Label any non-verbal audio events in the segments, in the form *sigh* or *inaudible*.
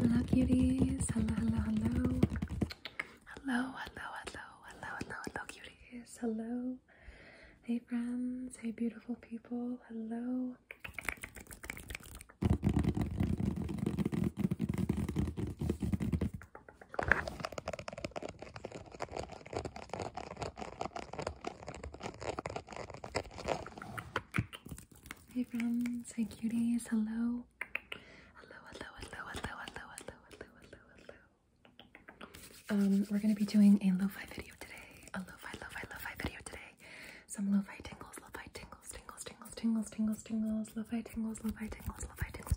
Hello, cuties. Hello, hello, hello. Hello, hello, hello, hello, hello, hello, Hello. Hey, friends. Hey, beautiful people. Hello. Hey friends, hey cuties, hello. Hello, hello, hello, hello, hello, hello, hello, um, we're gonna be doing a lo-fi video today. A lo-fi, lo-fi, lo-fi video today. Some lo-fi tingles, lo-fi tingles, tingles, tingles, tingles, tingles, tingles, lo-fi tingles, lo-fi tingles, lo-fi tingles.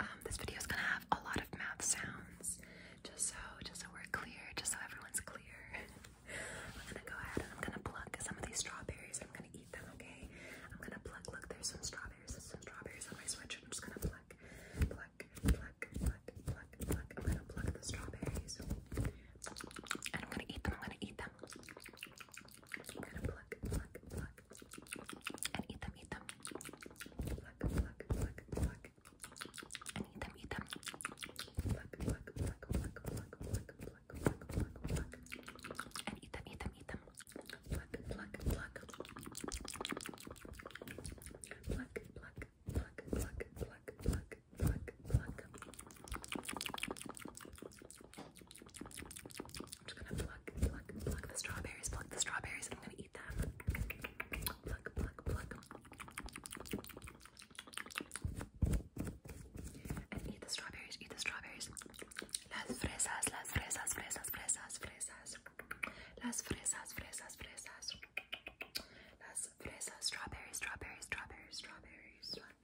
Um, this video is gonna have a lot of mouth sounds, just so, just so we're clear, just so everyone's clear. *laughs* I'm gonna go ahead and I'm gonna pluck some of these strawberries. I'm gonna eat them, okay? I'm gonna pluck. Look, there's some strawberries. some strawberries on my sweatshirt. I'm just gonna pluck, pluck, pluck, pluck, pluck, pluck. I'm gonna pluck the strawberries, and I'm gonna eat them. I'm gonna eat them them. We're gonna pluck, pluck, pluck, and eat them, eat them. Pluck, pluck, pluck, pluck, and eat them, eat them. Pluck, pluck, pluck, pluck, pluck, pluck, pluck, pluck, pluck, pluck, and eat them, eat them, eat them. Pluck, pluck, pluck. Pluck, pluck, pluck, pluck, pluck, pluck, pluck, pluck. pluck, the strawberries, pluck the strawberries, I'm gonna eat them. Pluck, pluck, pluck. eat the strawberries, eat the strawberries. Las fresas, las fresas, fresas, fresas, fresas. Las fresas, fresas, fresas. Las fresas, strawberries, strawberries, strawberries, strawberries.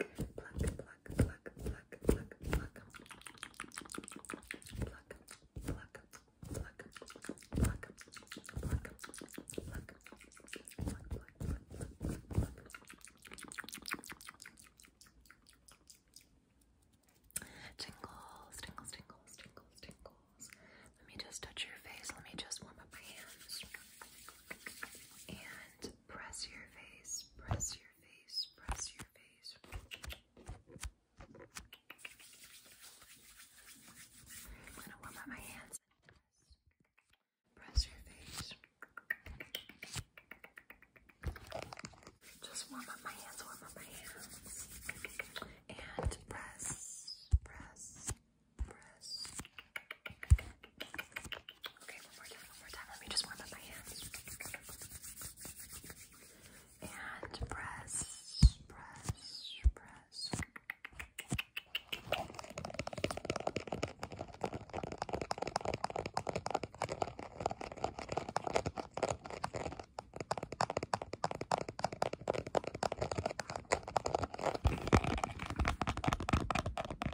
Tingles, tingles, tingles, tingles, tingles. Let me just touch your face. Let me just warm up my hands press your face, press your face, press your face. I'm going to warm up my hands. Press your face. Just warm up my hands, warm up my hands. And press, press, press. Okay, one more time, one more time. Let me just warm up my hands. And press, press, press. Okay,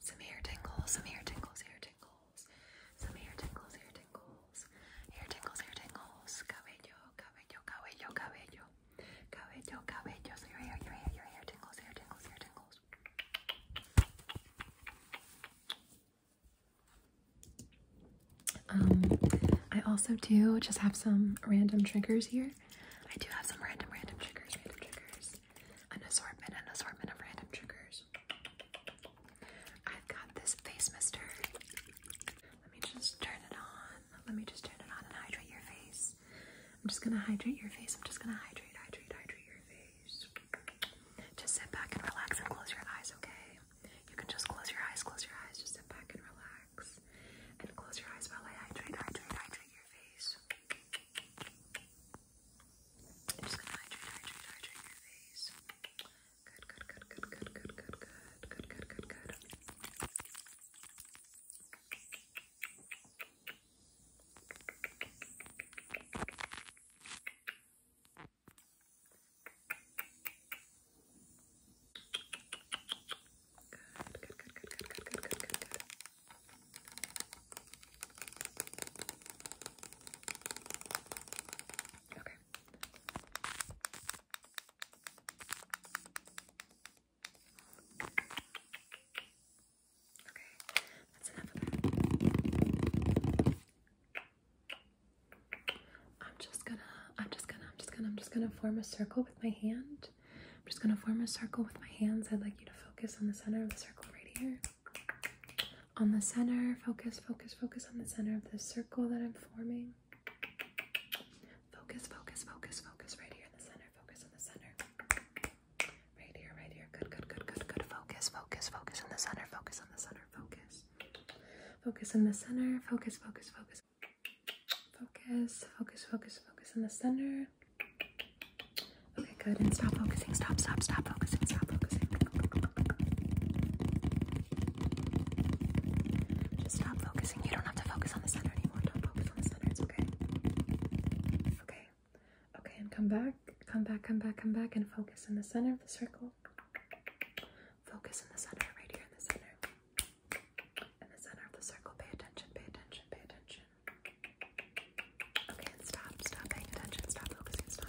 Some hair tingles, some hair tingles, hair tingles, some hair tingles, hair tingles, hair tingles, hair tingles, cabello, cabello, cabello, cabello, cabello, cabello, so your hair, your hair, tingles, hair tingles, hair tingles. Um, I also do just have some random triggers here. I do have some random, random triggers, random triggers. An assortment, an assortment of random triggers. I've got this face mister. Let me just turn it on. Let me just turn it on and hydrate your face. I'm just gonna hydrate your face. I'm just gonna hydrate, hydrate, hydrate your face. Just sit back and relax and close your eyes, okay? You can just close your eyes, close your eyes, just sit back and relax. And close your eyes while I hydrate, hydrate, hydrate your face. I'm just gonna hydrate, hydrate, hydrate your face. good, good, good, good, good, good, good, good, good, good. Good, Good, good, good, good, good, good, good, good, Okay. Okay, that's enough of that. I'm just gonna, I'm just gonna, I'm just gonna, I'm just gonna form a circle with my hand I'm just going to form a circle with my hands. I'd like you to focus on the center of the circle right here. On the center, focus, focus, focus on the center of the circle that I'm forming. Focus, focus, focus, focus right here in the center. Focus on the center. Right here, right here. Good, good, good, good, good. Focus, focus, focus on the center. Focus on the center. Focus. Focus in the center. Focus, focus, focus Focus, focus, focus, focus in the center. Okay, good. And stop focusing. Stop, stop, stop focusing. Stop focusing. Just stop focusing. You don't have to focus on the center anymore. Don't focus on the center. okay. Okay. Okay, and come back. Come back, come back, come back, and focus in the center of the circle. Focus in the center, right here in the center in the center of the circle. Pay attention, pay attention, pay attention. Okay, stop, stop paying attention, stop focusing, stop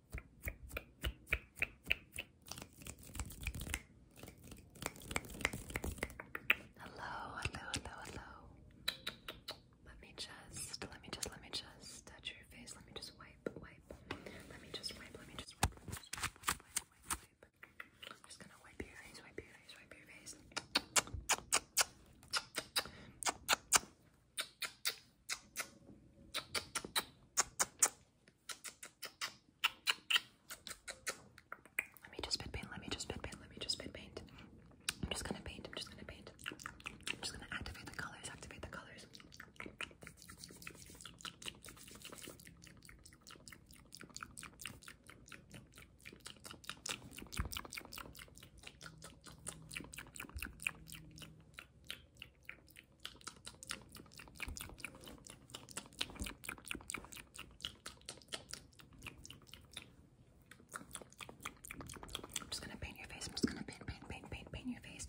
Hello, hello, hello, hello. Let me just, let me just, let me just touch your face. Let me just wipe, wipe. Let me just wipe, let me just wipe, let me just wipe, wipe, wipe, wipe. I'm just gonna wipe your face, wipe your face, wipe your face. Let me just spit paint. Let me just spit paint. Let me just spit paint. I'm just gonna paint. I'm just gonna paint. I'm just gonna activate the colors. Activate the colors. I'm just gonna paint your face. I'm just gonna paint, paint, paint, paint, paint your face.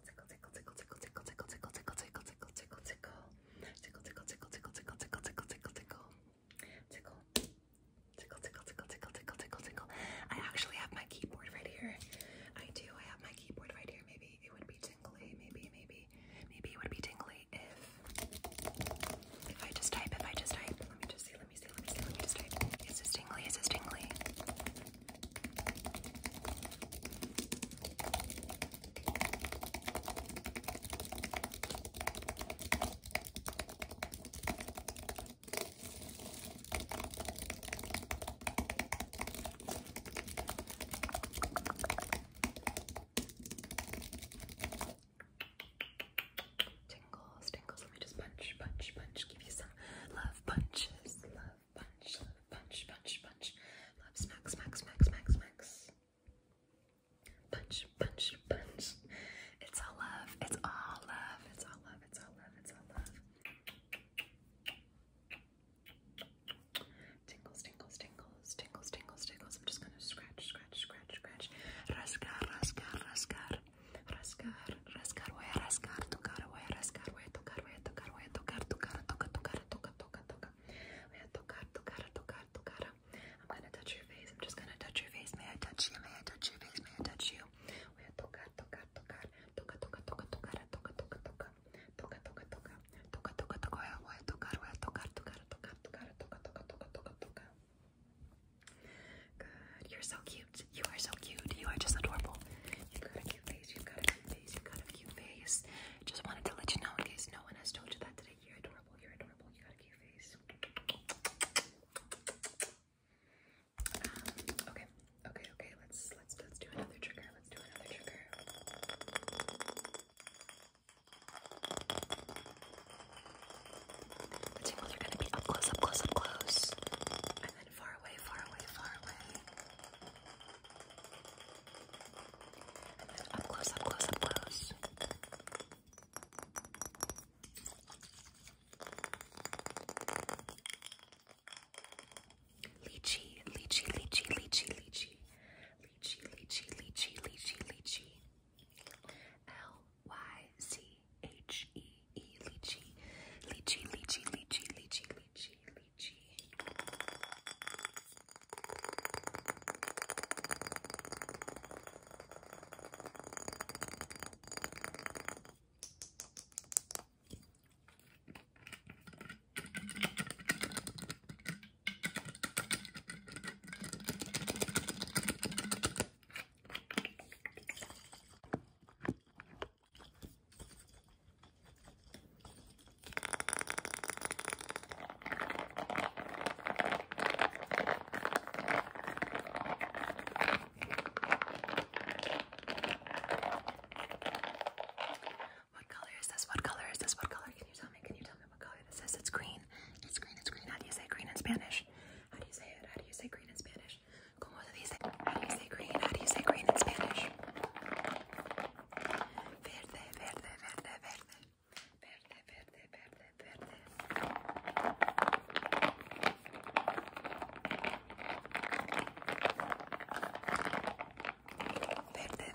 tickle I actually have my keyboard right here. I do. I have my keyboard right here. Maybe it would be tingly. Maybe, maybe, maybe it would be tingly if if I just type. If I just type. Let me just see. Let me see. Let me see. Let me just type. Is this tingly? Is this tingly? Tingles, tingles. Let me just punch, punch, punch. Give you some love punches. Love punch, love punch, punch, punch. Love smack, smack, smack, smack, smacks. Punch, punch, punch. It's all love. It's all love. It's all love. It's all love. It's all love. Tingles, tingles, tingles, tingles, tingles, tingles. I'm just gonna scratch, scratch, scratch, scratch. Rascar, rascar, rascar, rascar, rascar, voy a rascar, tocar, voy a rascar, voy a tocar, voy a tocar, voy a tocar, tocar, toca, tocar, toca, toca, toca. Voy a tocar, tocar, tocar, tocar. I'm gonna touch your face. I'm just gonna touch your face. May I touch you? May I touch your face? May I touch you? Voy a tocar, tocar, tocar, toca, toca, toca, tocar, toca, toca, toca, toca, toca, toca, toca, toca, toca. Voy a tocar, voy a tocar, tocar, tocar, tocar, toca, toca, toca, toca, toca. Good. You're so cute. You are so cute. You are just adorable. You've got a cute face. You've got a cute face. You've got a cute face. Just wanted to let you know in case no one has told you that today. You're adorable. You're adorable. You got a cute face. Um, okay. Okay. Okay. Let's let's let's do another trigger. Let's do another trigger. The tingles are gonna be up close, up close, up close, and far away, far away, far away. And then up close, up close, up close. Lychee, lychee, lychee, lychee, lychee. Lychee, lychee, lychee, lychee, lychee. L Y C H E E lychee, lychee, lychee, lychee, lychee, lychee, lychee. What color is this? What color is this? What color? Can you tell me? Can you tell me what color this is? It's green. It's green. It's green. How do you say green in Spanish? How do you say it? How do you say green in Spanish? ¿Cómo se dice? green? in Spanish? Verde, verde, verde. Verde, verde, verde, verde. Verde, verde, verde, verde.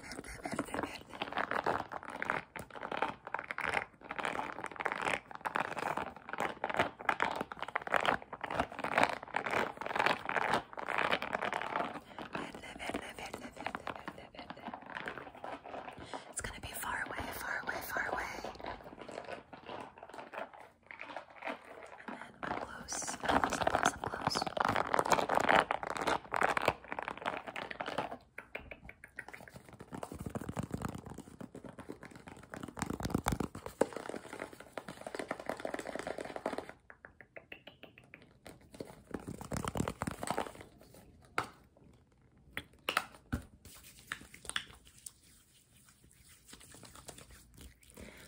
live it, live it, live it, live it, live it. It's gonna be far away, far away, far away. And then I'm close. I'm close, I'm close, I'm close.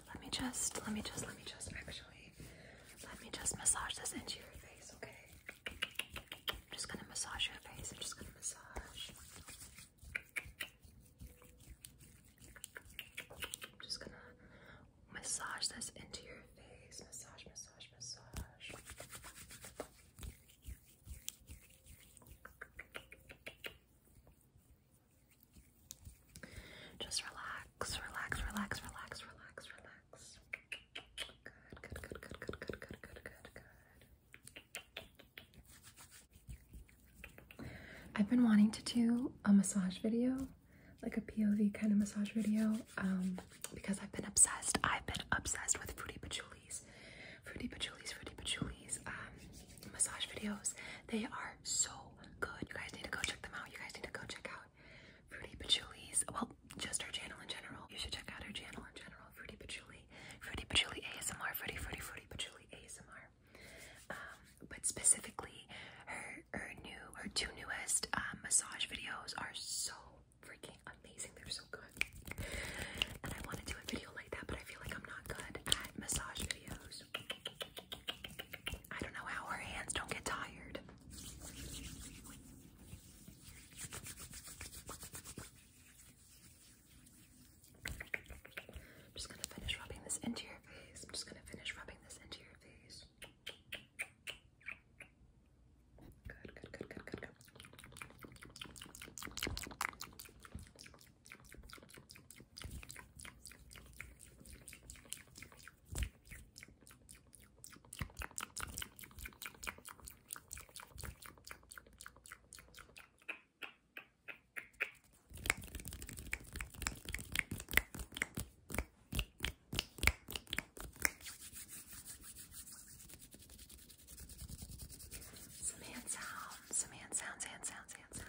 Let me just, let me just, let me just actually, let me just massage this into your face, okay? I'm just gonna massage your face. I'm just gonna massage. I'm just gonna massage this into your face. Massage, massage, massage. Just relax, relax, relax, relax, relax, relax. Good, good, good, good, good, good, good, good, good, good. I've been wanting to do a massage video, like a POV kind of massage video, um, because I've been obsessed. I've been obsessed with Fruity Patchouli's, Fruity Patchouli's, Fruity Patchouli's um, massage videos. They are so good. You guys need to go check them out. You guys need to go check out Fruity Patchouli's. Well, just her channel in general. You should check out her channel in general, Fruity Pachuli. Fruity Pachuli ASMR, Fruity, Fruity, Fruity Pachuli ASMR. Um, but specifically, her her new her two newest uh, massage videos are so freaking amazing. They're so good, and I want to do a video like that, but I feel like I'm not good at massage videos. I don't know how her hands don't get tired. I'm just gonna finish rubbing this into your face. I'm just gonna finish rubbing this into your face. Good, good, good, good, good, good. Some hand sounds, some hand sounds, hand sounds, hand sounds, hand sounds.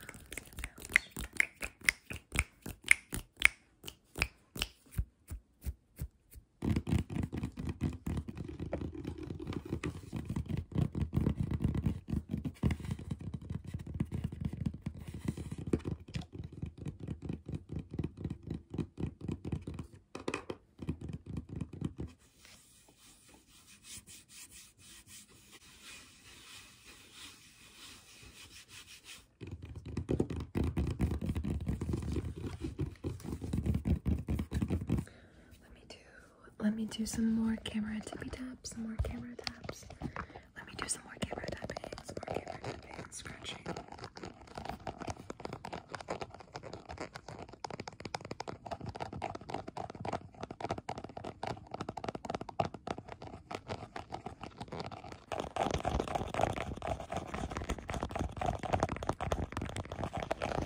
Let me do let me do some more camera tippy taps, some more camera taps. Let me do some more camera tapping, some more camera tapping scratching.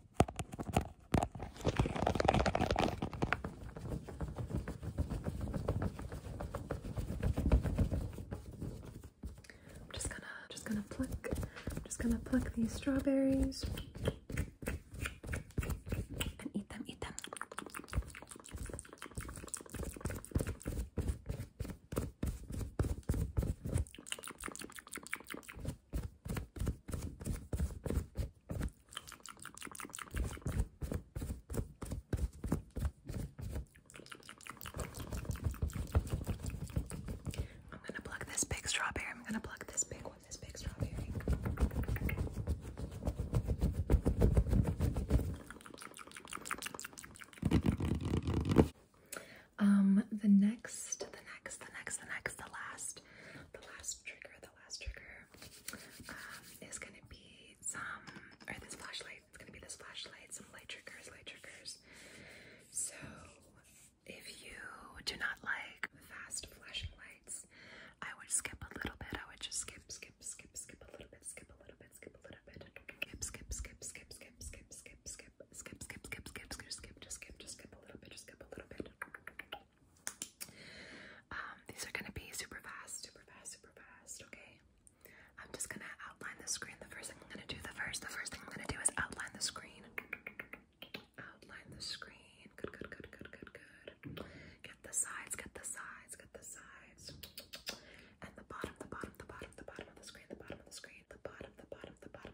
I'm just gonna just gonna pluck just gonna pluck these strawberries and eat them eat them I'm gonna pluck this big strawberry. I'm gonna pluck this big one, this big strawberry. Um, the next, the next, the next, the next, the last, the last trigger, the last trigger um, is gonna be some, or this flashlight, it's gonna be this flashlight, some light triggers, light triggers. So, if you do not like fast flashing lights, I would skip a little bit. I would just skip, skip, skip, skip a little bit, skip a little bit, skip a little bit, skip, skip, skip, skip, skip, skip, skip, skip skip, skip, skip, skip, skip, skip, skip, skip, just skip, just skip a little bit, just skip a little bit. Um, these are gonna be super fast, super fast, super fast, okay? I'm just gonna outline the screen. The first thing I'm gonna do, the first, the first thing I'm gonna do is outline the screen. Outline the screen. Good, good, good, good, good, good. Get the sides, get the sides, get the sides. And the bottom, the bottom, the bottom, the bottom of the screen, the bottom of the screen, the bottom, the bottom, the bottom,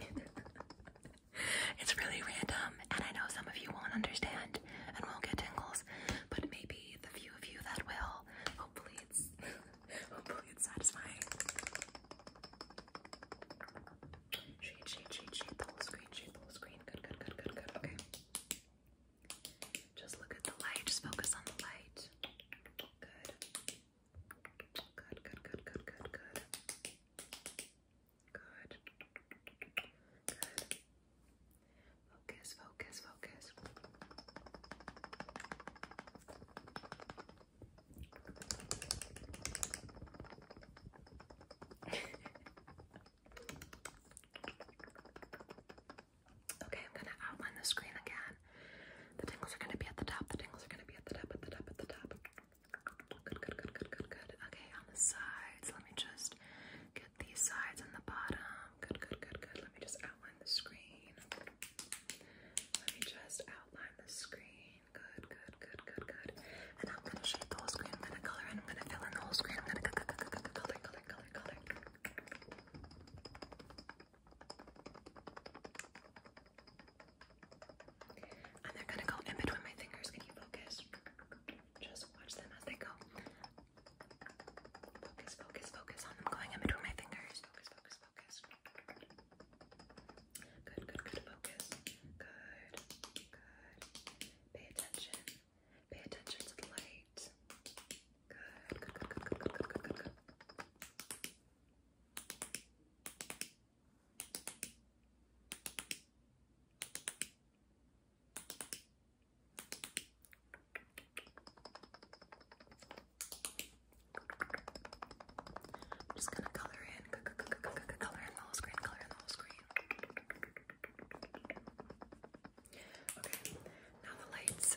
*laughs* it's really random, and I know some of you won't understand and won't get tingles, but maybe the few of you that will, hopefully it's *laughs* hopefully it's satisfying. Shade, shade, shade, shade the screen, shade the screen. Good, good, good, good, good. Okay. Just look at the light. Just focus on the light. Good. Good, good, good, good, good, good. Good. Good. Focus, focus, focus. *laughs* okay, I'm going to outline the screen again. The tingles are gonna be at the top. The tingles are gonna be at the top, at the top, at the top. Good, good, good, good, good, good. Okay, on the sides, let me just get these sides and the bottom. Good, good, good, good. Let me just outline the screen. Let me just outline the screen. Good, good, good, good, good. And I'm gonna shade the whole screen. I'm gonna color and I'm gonna fill in the whole screen. I'm gonna color, color, color, color. And they're gonna go in between my fingers. Can you focus? Just watch them as they go. Focus, focus, focus on them going in between my fingers. Focus, focus, focus. Good, good, good. Focus. Good, good. Pay attention. Pay attention to the light. Good, I'm just gonna color in, color in the whole screen, color in the whole screen. Okay, now the lights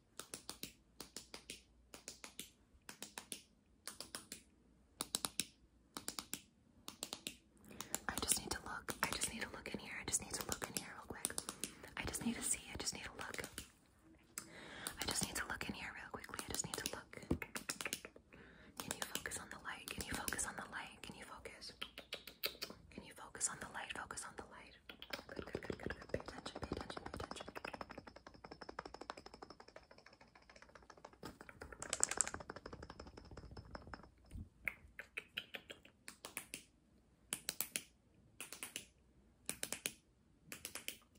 I just need to look. I just need to look in here. I just need to look in here real quick. I just need to see. I just need to look. I just need to look in here real quickly. I just need to look. Can you focus on the light? Can you focus on the light? Can you focus? Can you focus on the light? Focus on the light. Good, good, good, good, Pay attention, pay attention, pay attention.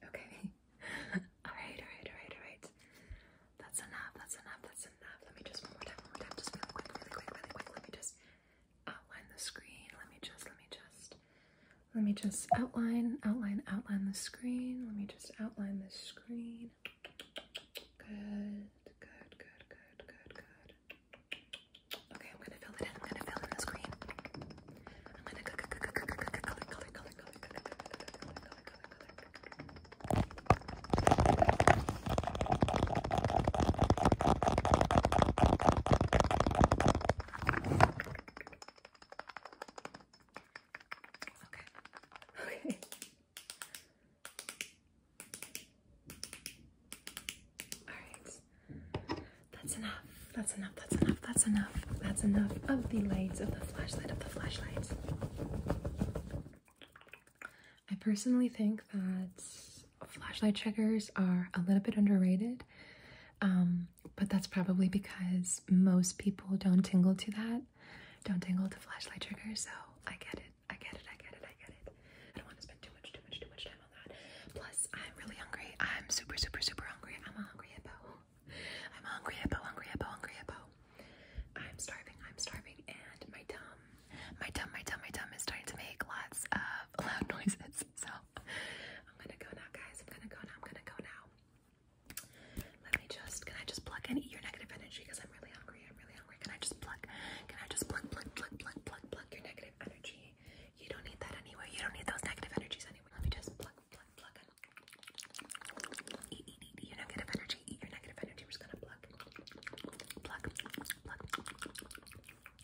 Okay. *laughs* alright, alright, alright, alright. That's enough, that's enough, that's enough. Let me just one more time, one more time, just really quick, really quick, really quick. Let me just outline the screen. Let me just, let me just let me just outline, outline, outline the screen. Let me just outline the screen. Good, good, good, good, good, good. Okay, I'm gonna fill it in. I'm gonna fill in the screen. I'm gonna color, color, color, color, color, color, color, color, color, color. Okay. Okay. *laughs* Alright. That's enough. That's enough. That's enough. That's enough. That's enough of the lights, of the flashlight, of the flashlights. I personally think that flashlight checkers are a little bit underrated. Um, um, but that's probably because most people don't tingle to that, don't tingle to flashlight triggers. So I get it, I get it, I get it, I get it. I don't want to spend too much, too much, too much time on that. Plus, I'm really hungry. I'm super, super, super hungry. I'm a hungry hippo. I'm a hungry hippo, hungry hippo, hungry hippo. I'm starving, I'm starving, and my tum, my tum, my tum, my tum is starting to make lots of *laughs* loud noises. So I'm gonna go now, guys. I'm gonna go now. I'm gonna go now. Let me just. Can I just plug in your negative energy? Because I'm really hungry. I'm really hungry. Can I just plug? Can I just plug, plug, plug, plug, plug, plug your negative energy? You don't need that anyway. You don't need those negative energies anyway. Let me just plug, plug, plug in. Eat, eat, eat, eat your negative energy. Eat your negative energy. We're just gonna plug, plug, plug, plug,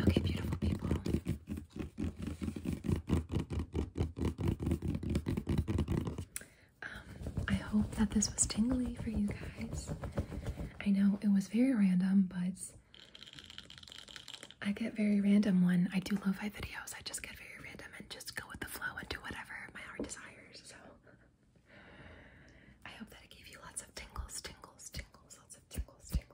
Okay, beautiful people. Um, I hope that this was tingly for you guys. I know it was very random, but I get very random when I do lofi videos. I just get very random and just go with the flow and do whatever my heart desires. So I hope that it gave you lots of tingles, tingles, tingles, lots of tingles, tingles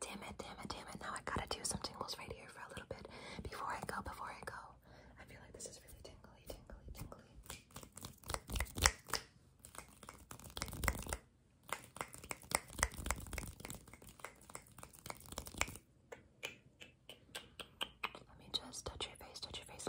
Damn it, damn it, damn it. Now I gotta do some tingles right here for a little bit before I go, before I go. I feel like this is really tingly, tingly, tingly. Let me just touch your face, touch your face.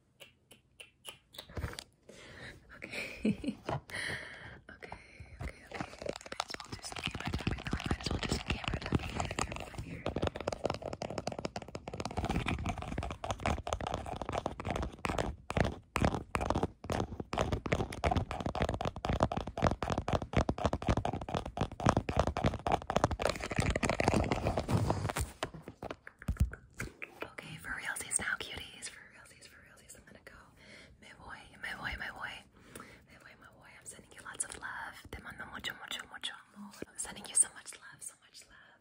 Okay. *laughs* okay, okay, okay. Might as well do some camera tapping. I might as well do some camera tapping. here. Okay, for realsies now, cuties. For realsies, for realsies. I'm gonna go. Me voy, me voy, me voy. Me voy, me voy. I'm sending you lots of love. Te mando mucho, mucho, mucho amor. I'm sending you so much love, so much love.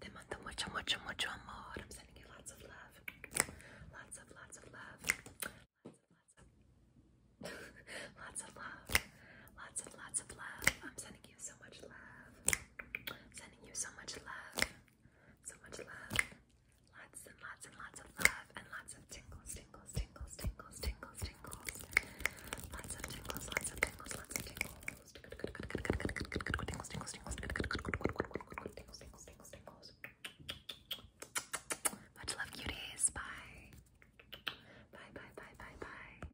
Te mando mucho, mucho, mucho amor. I'm sending you lots of love. Lots of, lots of love. *laughs* Lots of, love. Lots of, lots of love. I'm sending you so much love. Sending you so much love. So much love. Lots and lots and lots of love and lots of tingles, tingles, tingles, tingles, tingles, tingles. Lots of tingles, lots of tingles, lots of tingles. Tingles, tingles, tingles, tingles, tingles, tingles, tingles. Much love, cuties. Bye. Bye, bye, bye, bye, bye.